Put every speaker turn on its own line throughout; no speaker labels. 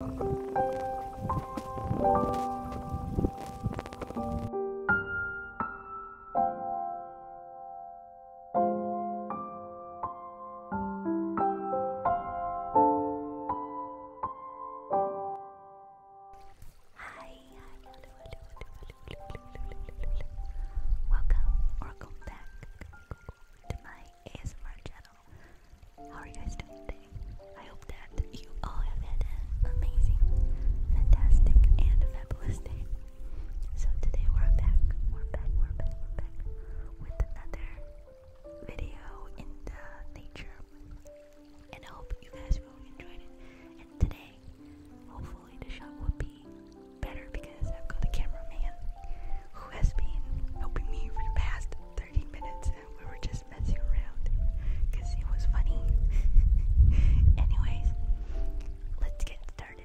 Welcome, welcome back to my ASMR channel. How are you guys doing today? I hope that you all have had an amazing, fantastic, and fabulous day. So today we're back, we're back, we're back, we're back with another video in the nature. And I hope you guys really enjoyed it. And today, hopefully the shot will be better because I've got a cameraman who has been helping me for the past 30 minutes kids. We were just messing around because it was funny. Anyways, let's get started.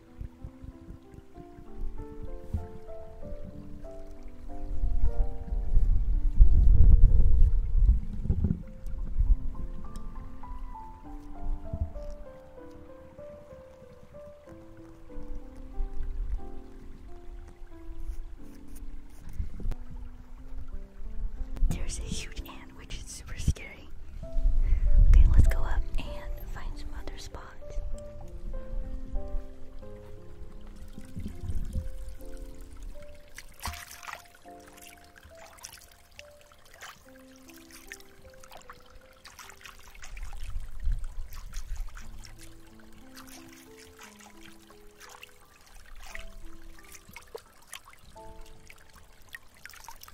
There's a huge ant which is super scary. Okay, let's go up and find some other spots.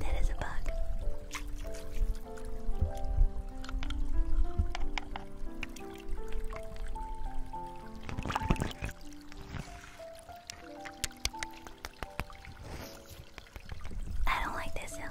That is a bug. I don't like this hill.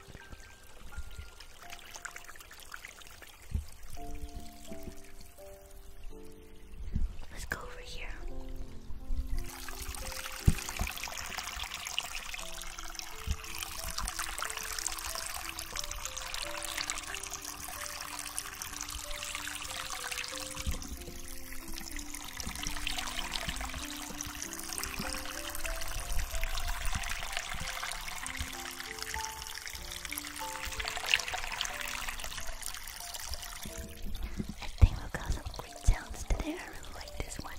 Let's go over here. I think we got some great sounds today. I really like this one.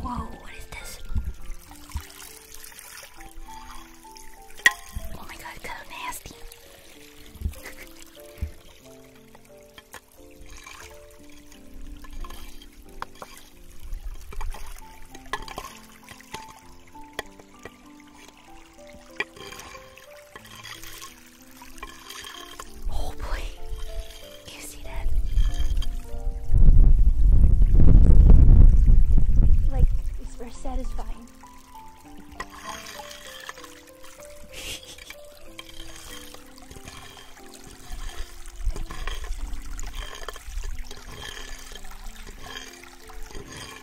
Whoa, what is this? Oh my god, so nasty. Oh boy, you see that? Like, it's very satisfying.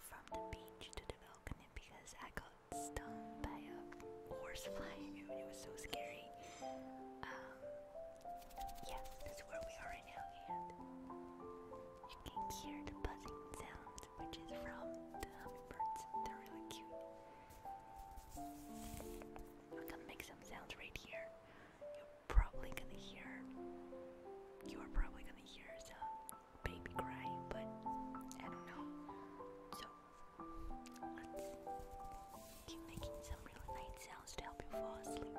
from the beach to the balcony because I got stung by a horsefly. It, it was so scary. Um, that's where we are now, and you can hear the buzzing sound, which is from the hummingbirds. They're really cute. I'm gonna make some sounds right here. You're probably gonna hear. You are probably gonna hear some baby cry, but I don't know. So let's keep making some really nice sounds to help you fall asleep.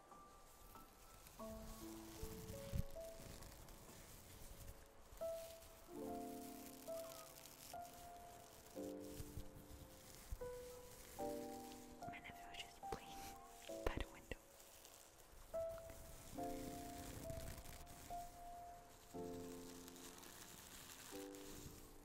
My nephew was just playing by the window.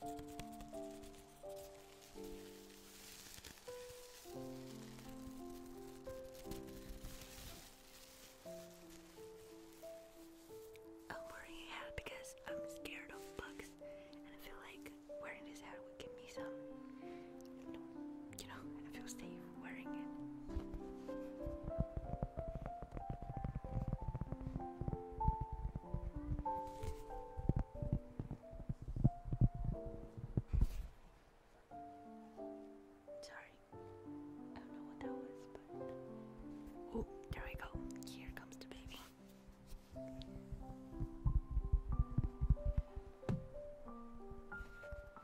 I'm oh, wearing a hat because I'm scared of bugs and I feel like wearing this hat would give me some you I feel safe wearing it. Sorry, I don't know what that was, but oh, there we go. Here comes the baby.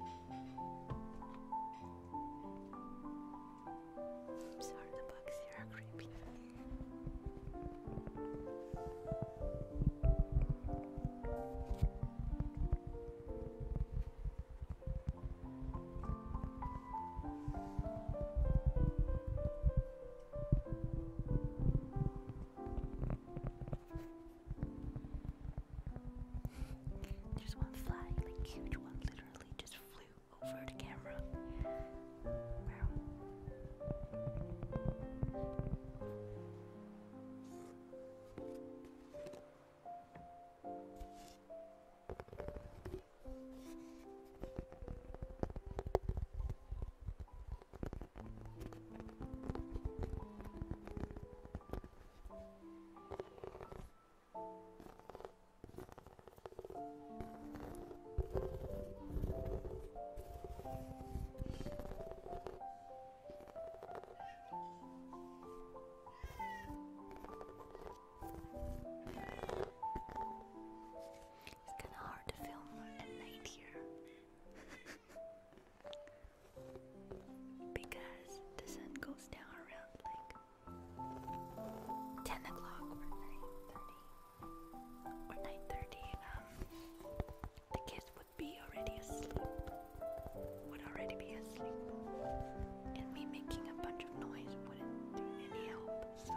I'm sorry, the bugs here are creepy. There's one fly, like huge one, literally just flew over the camera. It's kinda hard to film at night here. because the sun goes down around like 10 o'clock or 9.30 or 9.30 um, the kids would be already asleep would already be asleep and me making a bunch of noise wouldn't do any help so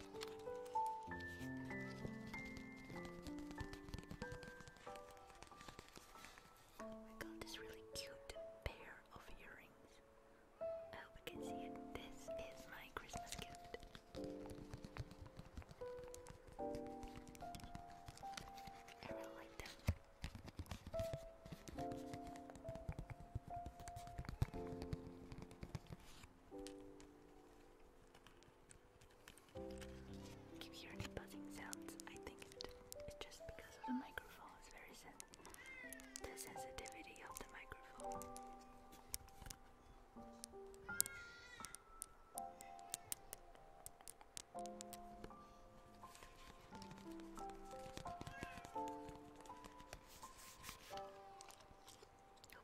We oh got this really cute pair of earrings. I hope you can see it. This is my Christmas gift. I really like them. If you buzzing sounds, I think it's just because of the microphone. It's very sen the sensitivity of the microphone.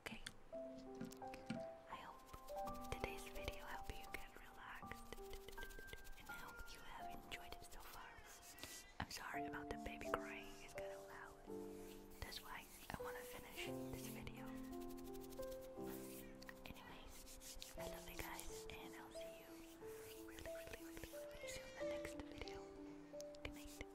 Okay. I hope today's video helped you get relaxed and I hope you have enjoyed it so far. I'm sorry about the baby crying, it's kind of loud. That's why I want to finish this video. Anyways, I love you guys and I'll see you really, really, really, really soon in the next video. Good night.